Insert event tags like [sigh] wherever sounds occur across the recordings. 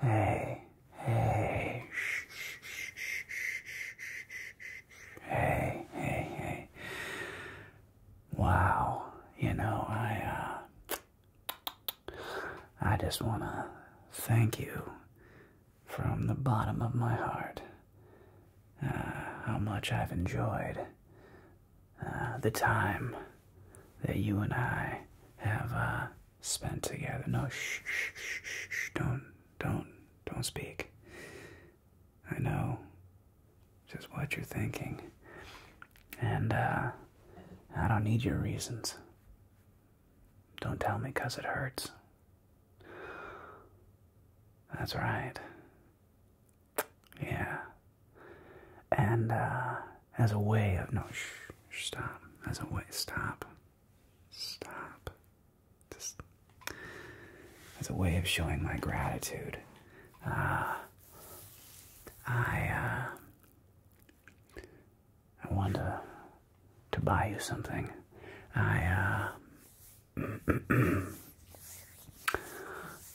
Hey, hey, shh, shh, shh, shh, hey, hey, hey. Wow, you know, I, uh, I just want to thank you from the bottom of my heart uh, how much I've enjoyed uh, the time that you and I have, uh, spent together. No, shh, shh, shh, shh, don't, don't, don't speak. I know just what you're thinking. And, uh, I don't need your reasons. Don't tell me because it hurts. That's right. Yeah. And, uh, as a way of no. Shh, stop. as a way. Stop. Stop. Just as a way of showing my gratitude. Uh, I uh, I wanted to, to buy you something. I uh, [clears throat]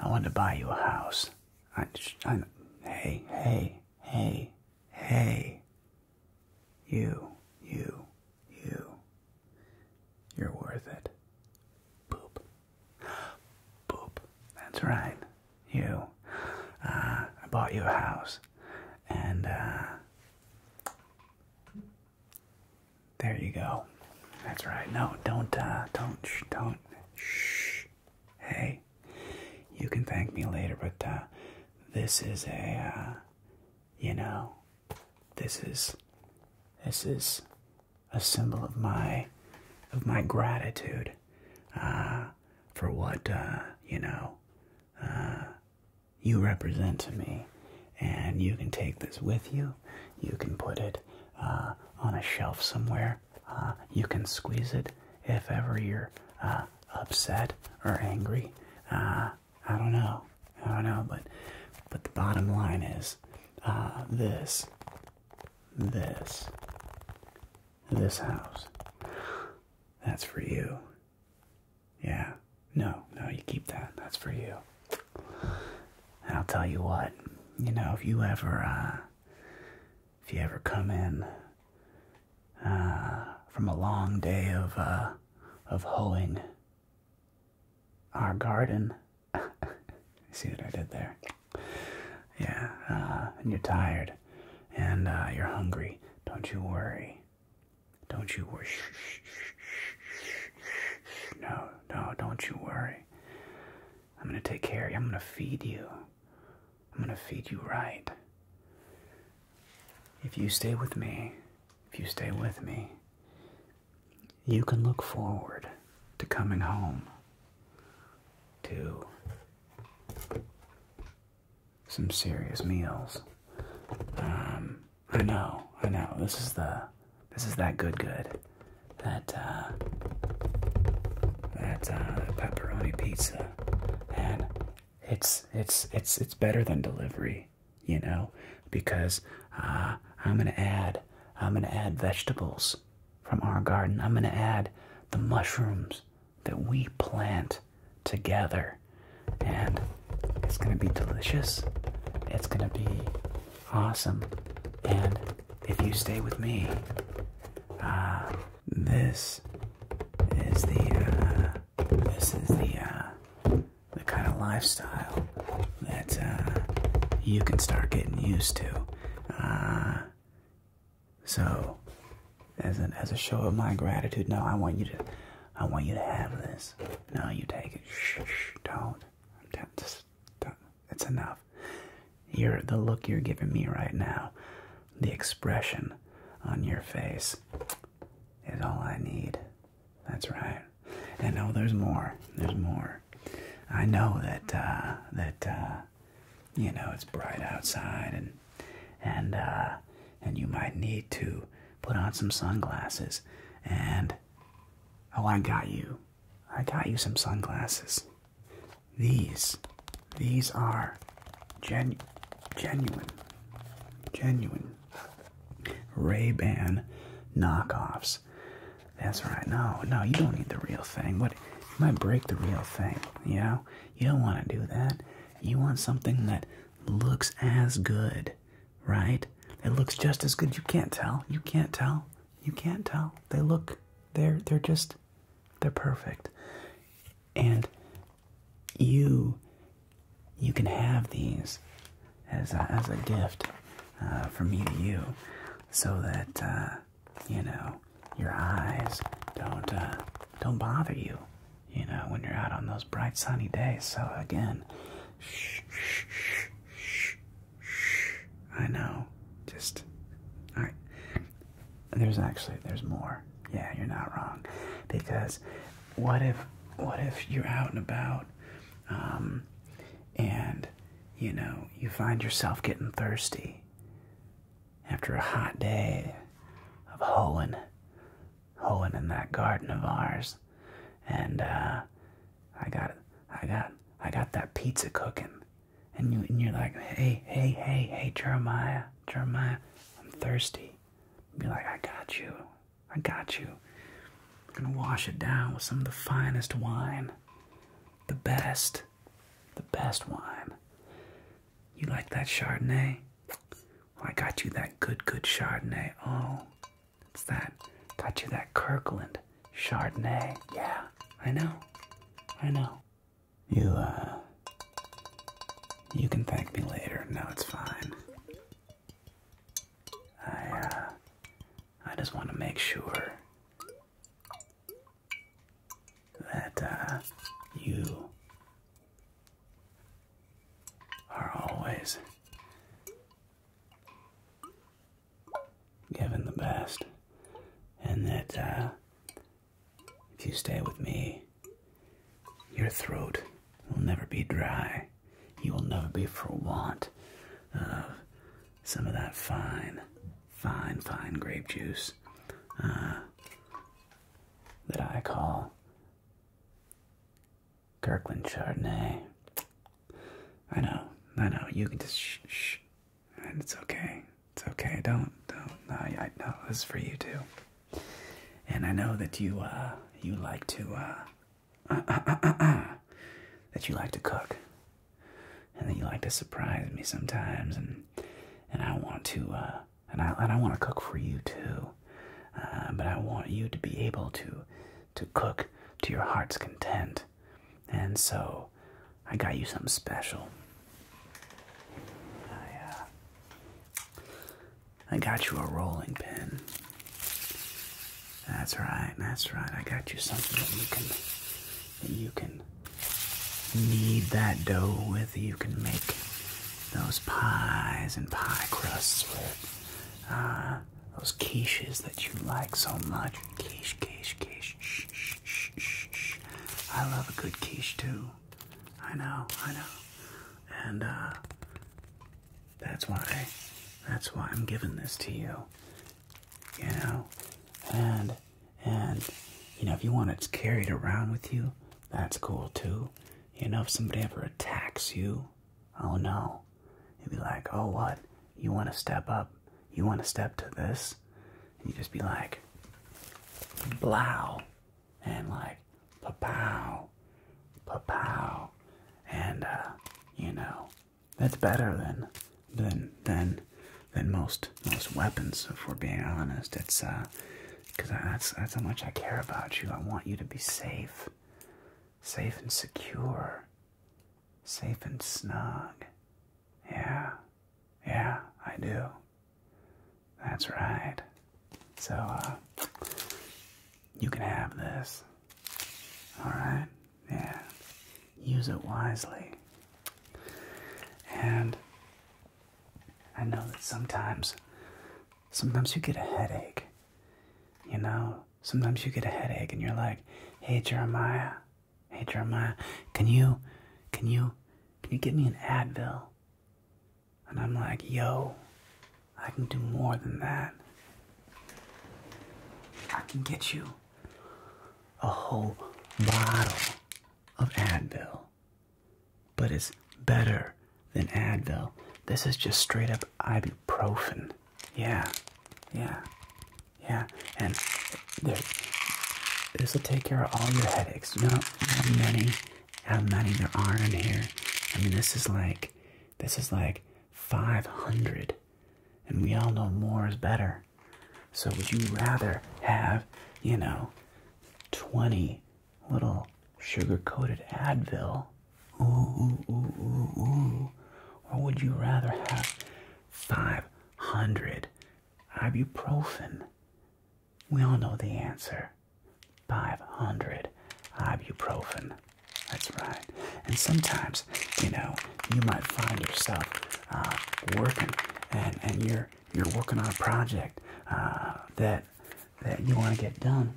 I wanted to buy you a house. I, I hey hey hey Hey, you, you, you. You're worth it. Boop. Boop. That's right. You. Uh, I bought you a house. And, uh, there you go. That's right. No, don't, uh, don't, don't, shh hey, you can thank me later, but uh, this is a, uh, you know, this is, this is a symbol of my, of my gratitude, uh, for what, uh, you know, uh, you represent to me. And you can take this with you. You can put it uh, on a shelf somewhere. Uh, you can squeeze it if ever you're upset or angry. Uh, I don't know. I don't know. But but the bottom line is uh, this, this, this house. That's for you. Yeah. No, no, you keep that. That's for you. And I'll tell you what. You know, if you ever, uh, if you ever come in uh, from a long day of uh, of hoeing our garden. [laughs] See what I did there? Yeah, uh, and you're tired, and uh, you're hungry. Don't you worry. Don't you worry. No, no, don't you worry. I'm gonna take care of you. I'm gonna feed you. I'm going to feed you right. If you stay with me, if you stay with me, you can look forward to coming home to some serious meals. Um, I know, I know. This is the, this is that good, good. That, uh, that, uh, pepperoni pizza. And it's it's it's it's better than delivery, you know, because uh, I'm gonna add I'm gonna add vegetables from our garden. I'm gonna add the mushrooms that we plant together, and it's gonna be delicious. It's gonna be awesome, and if you stay with me, uh, this is the uh, this is the uh, the kind of lifestyle that uh, you can start getting used to. Uh, so, as an as a show of my gratitude, no, I want you to I want you to have this. No, you take it. Shh, don't. Don't, just, do It's enough. You're the look you're giving me right now the expression on your face is all I need. That's right. And no, there's more. There's more. I know that uh, that uh, you know it's bright outside, and and uh, and you might need to put on some sunglasses. And oh, I got you. I got you some sunglasses these these are genu genuine genuine ray-ban knockoffs that's right no no you don't need the real thing what you might break the real thing you know you don't want to do that you want something that looks as good right it looks just as good you can't tell you can't tell you can't tell they look they're they're just they're perfect and you you can have these as a, as a gift uh, from me to you, so that uh, you know your eyes don't uh, don't bother you. You know when you're out on those bright sunny days. So again, shh, shh, shh, shh, I know. Just all right. There's actually there's more. Yeah, you're not wrong. Because what if what if you're out and about um, and you know you find yourself getting thirsty after a hot day of hoeing, hoeing in that garden of ours, and uh, I got I got I got that pizza cooking, and you and you're like, hey hey hey hey Jeremiah, Jeremiah, I'm thirsty. Be like, I got you. I got you. gonna wash it down with some of the finest wine. The best. The best wine. You like that Chardonnay? Well, I got you that good, good Chardonnay. Oh, it's that. Got you that Kirkland Chardonnay. Yeah, I know. I know. You, uh, you can thank me later. No, it's fine. I, uh, I just want to make sure that, uh, you are always given the best and that, if you stay with me, your throat will never be dry. You will never be for want of some of that fine, fine, fine grape juice uh, that I call Kirkland Chardonnay. I know, I know, you can just shh, and it's okay. It's okay. Don't don't. No, I know this is for you too. And I know that you uh you like to uh, uh, uh, uh, that you like to cook, and that you like to surprise me sometimes, and and I want to and I and I want to cook for you too, but I want you to be able to to cook to your heart's content, and so I got you something special. I I got you a rolling pin. That's right, that's right. I got you something that you can that you can knead that dough with. You can make those pies and pie crusts with. Ah, those quiches that you like so much. Quiche, quiche, quiche. Shh, shh, shh, shh. I love a good quiche too. I know, I know. And uh that's why that's why I'm giving this to you. You know? And and you know if you want it carried around with you, that's cool too. You know if somebody ever attacks you, oh no. You'd be like, oh what? You wanna step up? You wanna step to this? And you just be like Blow and like pa-pow, pa-pow, and uh, you know that's better than than than than most most weapons. If we're being honest, it's uh, because that's that's how much I care about you. I want you to be safe, safe and secure, safe and snug. Yeah, yeah, I do. That's right. So, uh, you can have this. Alright? Yeah. Use it wisely. And I know that sometimes, sometimes you get a headache. You know, sometimes you get a headache and you're like, hey, Jeremiah, hey, Jeremiah, can you, can you, can you get me an Advil? And I'm like, yo, I can do more than that. I can get you a whole bottle of Advil. But it's better than Advil. This is just straight up ibuprofen. Yeah, yeah, yeah. And this will take care of all your headaches. not many how many there are in here. I mean, this is like, this is like 500. And we all know more is better. So would you rather have, you know, 20 little sugar-coated Advil? Ooh, ooh, ooh, ooh, ooh. Or would you rather have 500 ibuprofen? We all know the answer 500 ibuprofen. That's right. And sometimes, you know, you might find yourself uh, working and, and you're, you're working on a project uh, that, that you want to get done.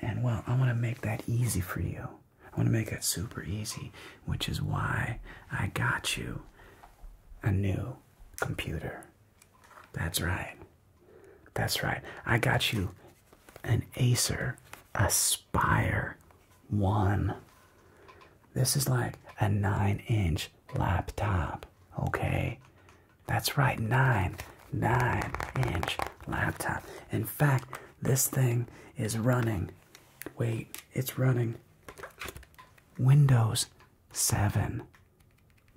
And well, I want to make that easy for you. I want to make it super easy, which is why I got you a new computer. That's right. That's right. I got you an Acer Aspire 1. This is like a 9 inch laptop. Okay. That's right. 9. 9 inch laptop. In fact, this thing is running. Wait, it's running Windows 7.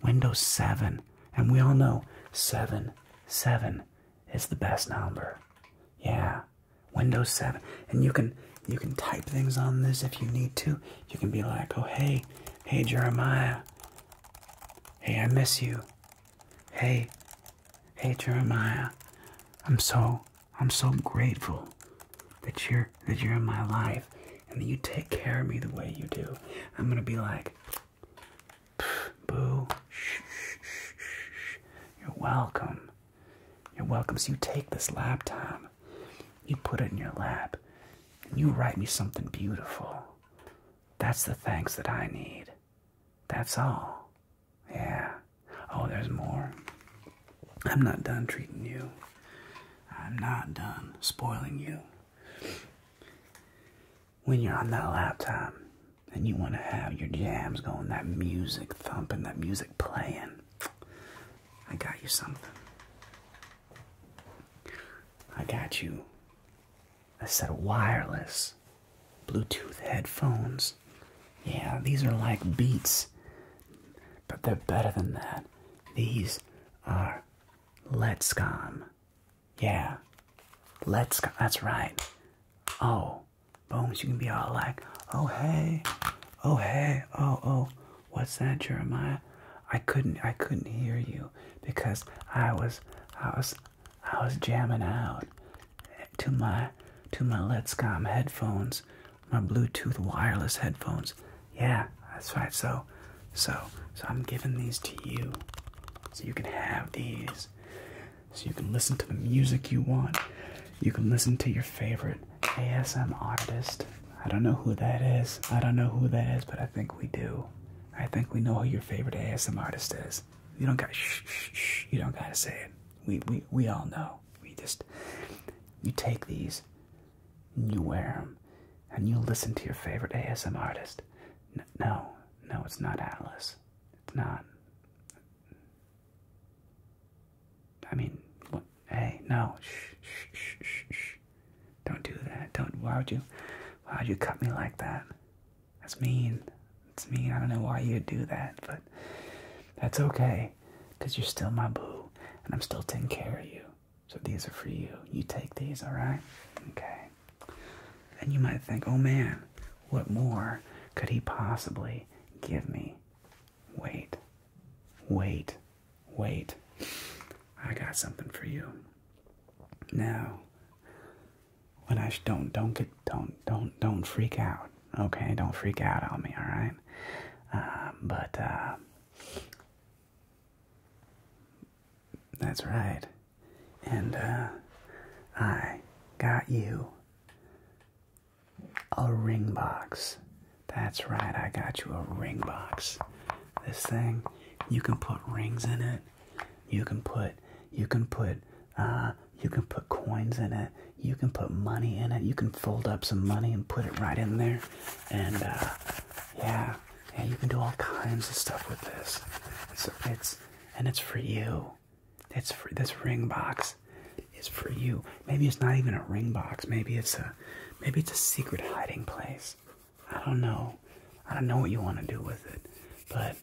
Windows 7. And we all know 7, 7 is the best number. Yeah. Windows 7. And you can you can type things on this if you need to. You can be like, oh hey, hey Jeremiah. Hey, I miss you. Hey, hey Jeremiah. I'm so I'm so grateful that you're that you're in my life and you take care of me the way you do, I'm gonna be like, boo, you're welcome. You're welcome. So you take this laptop, you put it in your lap, and you write me something beautiful. That's the thanks that I need. That's all. Yeah. Oh, there's more. I'm not done treating you. I'm not done spoiling you when you're on that laptop and you want to have your jams going, that music thumping, that music playing, I got you something. I got you a set of wireless Bluetooth headphones. Yeah, these are like Beats, but they're better than that. These are Let's go, Yeah. Let's go. That's right. Oh. boom! you can be all like, oh, hey. Oh, hey. Oh, oh. What's that, Jeremiah? I couldn't, I couldn't hear you because I was, I was, I was jamming out to my, to my Let's Come headphones, my Bluetooth wireless headphones. Yeah, that's right. So, so, so I'm giving these to you, so you can have these, so you can listen to the music you want. You can listen to your favorite ASM artist. I don't know who that is. I don't know who that is, but I think we do. I think we know who your favorite ASM artist is. You don't got shh, shh. You don't gotta say it. We, we, we all know. We just, you take these, you wear them, and you listen to your favorite ASM artist. no, no, it's not Alice. It's not. I mean, hey, no, shh, shh, shh, shh, don't do that. Don't. Why would you? Why would you cut me like that? That's mean. That's mean. I don't know why you'd do that, but that's okay, cause you're still my boo, and I'm still taking care of you. So these are for you. You take these, alright? Okay. Then you might think, oh man, what more could he possibly give me? Wait, wait, wait. I got something for you. Now, when I don't, don't get, don't, don't, don't freak out. Okay, don't freak out on me, all right? Uh, but uh, that's right. And uh, I got you a ring box. That's right, I got you a ring box. This thing, you can put rings in it. You can put, you can put, uh, you can put coins in it. You can put money in it. You can fold up some money and put it right in there. And uh, yeah, yeah, you can do all kinds of stuff with this. It's it's and it's for you. It's for this ring box It's for you. Maybe it's not even a ring box. Maybe it's a maybe it's a secret hiding place. I don't know. I don't know what you want to do with it, but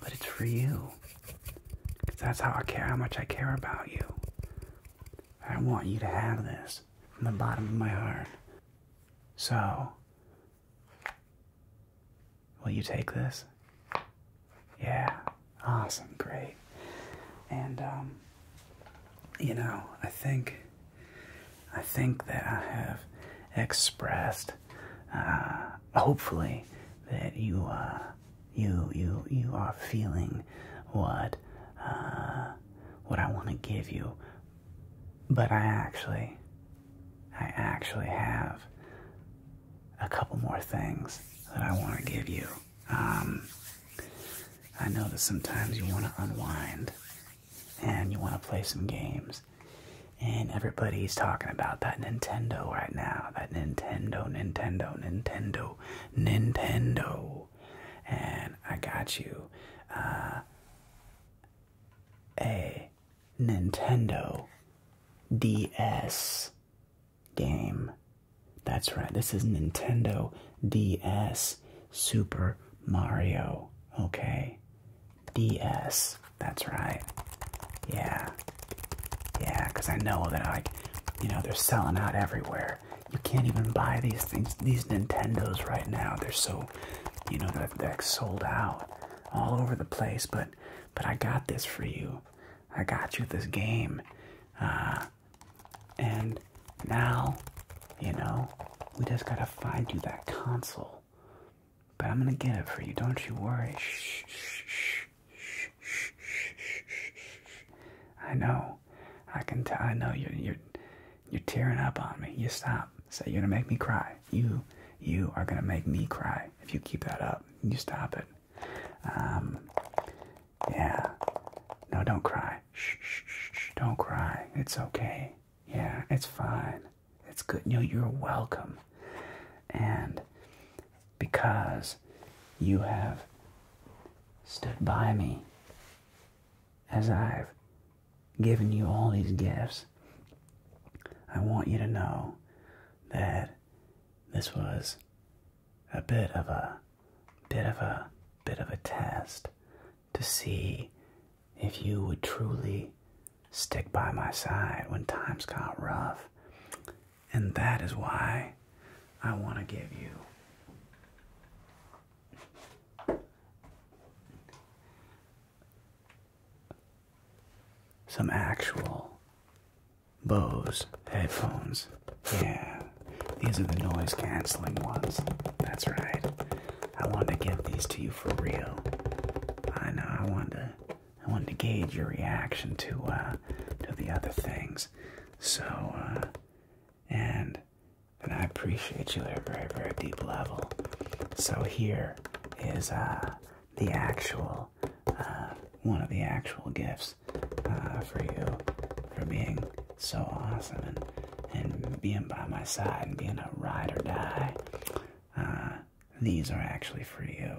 but it's for you. that's how I care. How much I care about you. I want you to have this from the bottom of my heart. So, will you take this? Yeah, awesome, great. And, um, you know, I think, I think that I have expressed, uh, hopefully, that you, uh, you, you, you are feeling what, uh, what I want to give you but I actually, I actually have a couple more things that I want to give you. Um, I know that sometimes you want to unwind and you want to play some games. And everybody's talking about that Nintendo right now. That Nintendo, Nintendo, Nintendo, Nintendo. And I got you uh, a Nintendo DS game. That's right, this is Nintendo DS Super Mario. Okay. DS. That's right. Yeah. Yeah, because I know that, like, you know, they're selling out everywhere. You can't even buy these things, these Nintendos right now. They're so so you know that deck's sold out all over the place but but i got this for you i got you this game uh, and now you know we just gotta find you that console but i'm gonna get it for you don't you worry shh, shh, shh, shh, shh, shh, shh. i know i can tell i know you're you're you're tearing up on me. You stop. Say you're gonna make me cry. You, you are gonna make me cry if you keep that up. You stop it. Um, yeah. No, don't cry. Shh, shh, shh. Don't cry. It's okay. Yeah, it's fine. It's good. No, you're welcome. And because you have stood by me as I've given you all these gifts, I want you to know that this was a bit of a bit of a bit of a test to see if you would truly stick by my side when times got rough. And that is why I want to give you some actual Bose headphones. Yeah, these are the noise canceling ones. That's right. I wanted to give these to you for real. I know. I wanted to. I wanted to gauge your reaction to uh, to the other things. So, uh, and and I appreciate you at a very, very deep level. So here is uh, the actual uh, one of the actual gifts uh, for you for being so awesome and and being by my side and being a ride or die. Uh, these are actually for you,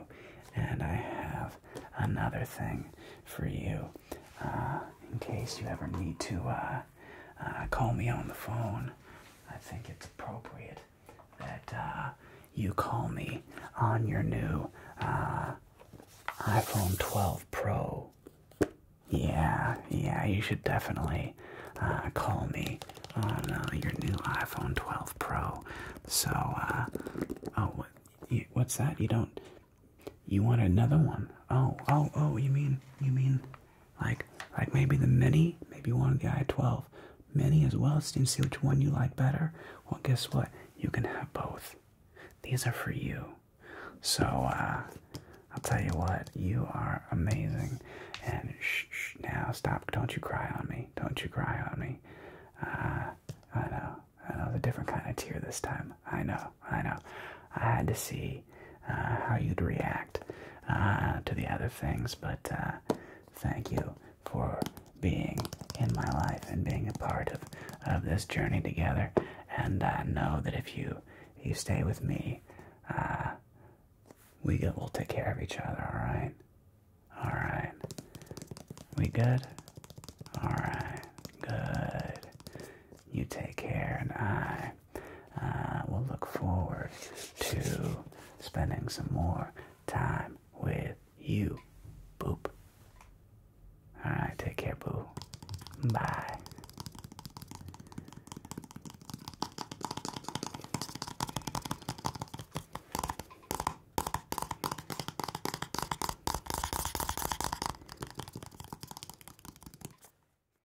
and I have another thing for you uh, in case you ever need to. Uh, uh, call me on the phone, I think it's appropriate that uh, you call me on your new uh, iPhone 12 Pro. Yeah, yeah, you should definitely call me on your new iPhone 12 Pro. So, oh, what's that? You don't, you want another one? Oh, oh, oh, you mean, you mean like like maybe the mini, maybe one of the i12 mini as well. Let's see which one you like better. Well, guess what? You can have both. These are for you. So uh, I'll tell you what, you are amazing. And shh, now stop! Don't you cry on me! Don't you cry on me! Uh, I know, I know, a different kind of tear this time. I know, I know. I had to see uh, how you'd react uh, to the other things. But uh, thank you for being in my life and being a part of, of this journey together. And I know that if you you stay with me, we get, we'll take care of each other. All right, all right. We good? All right, good. You take care, and I uh, will look forward to spending some more time with you. Boop. Alright, take care, boo. Bye.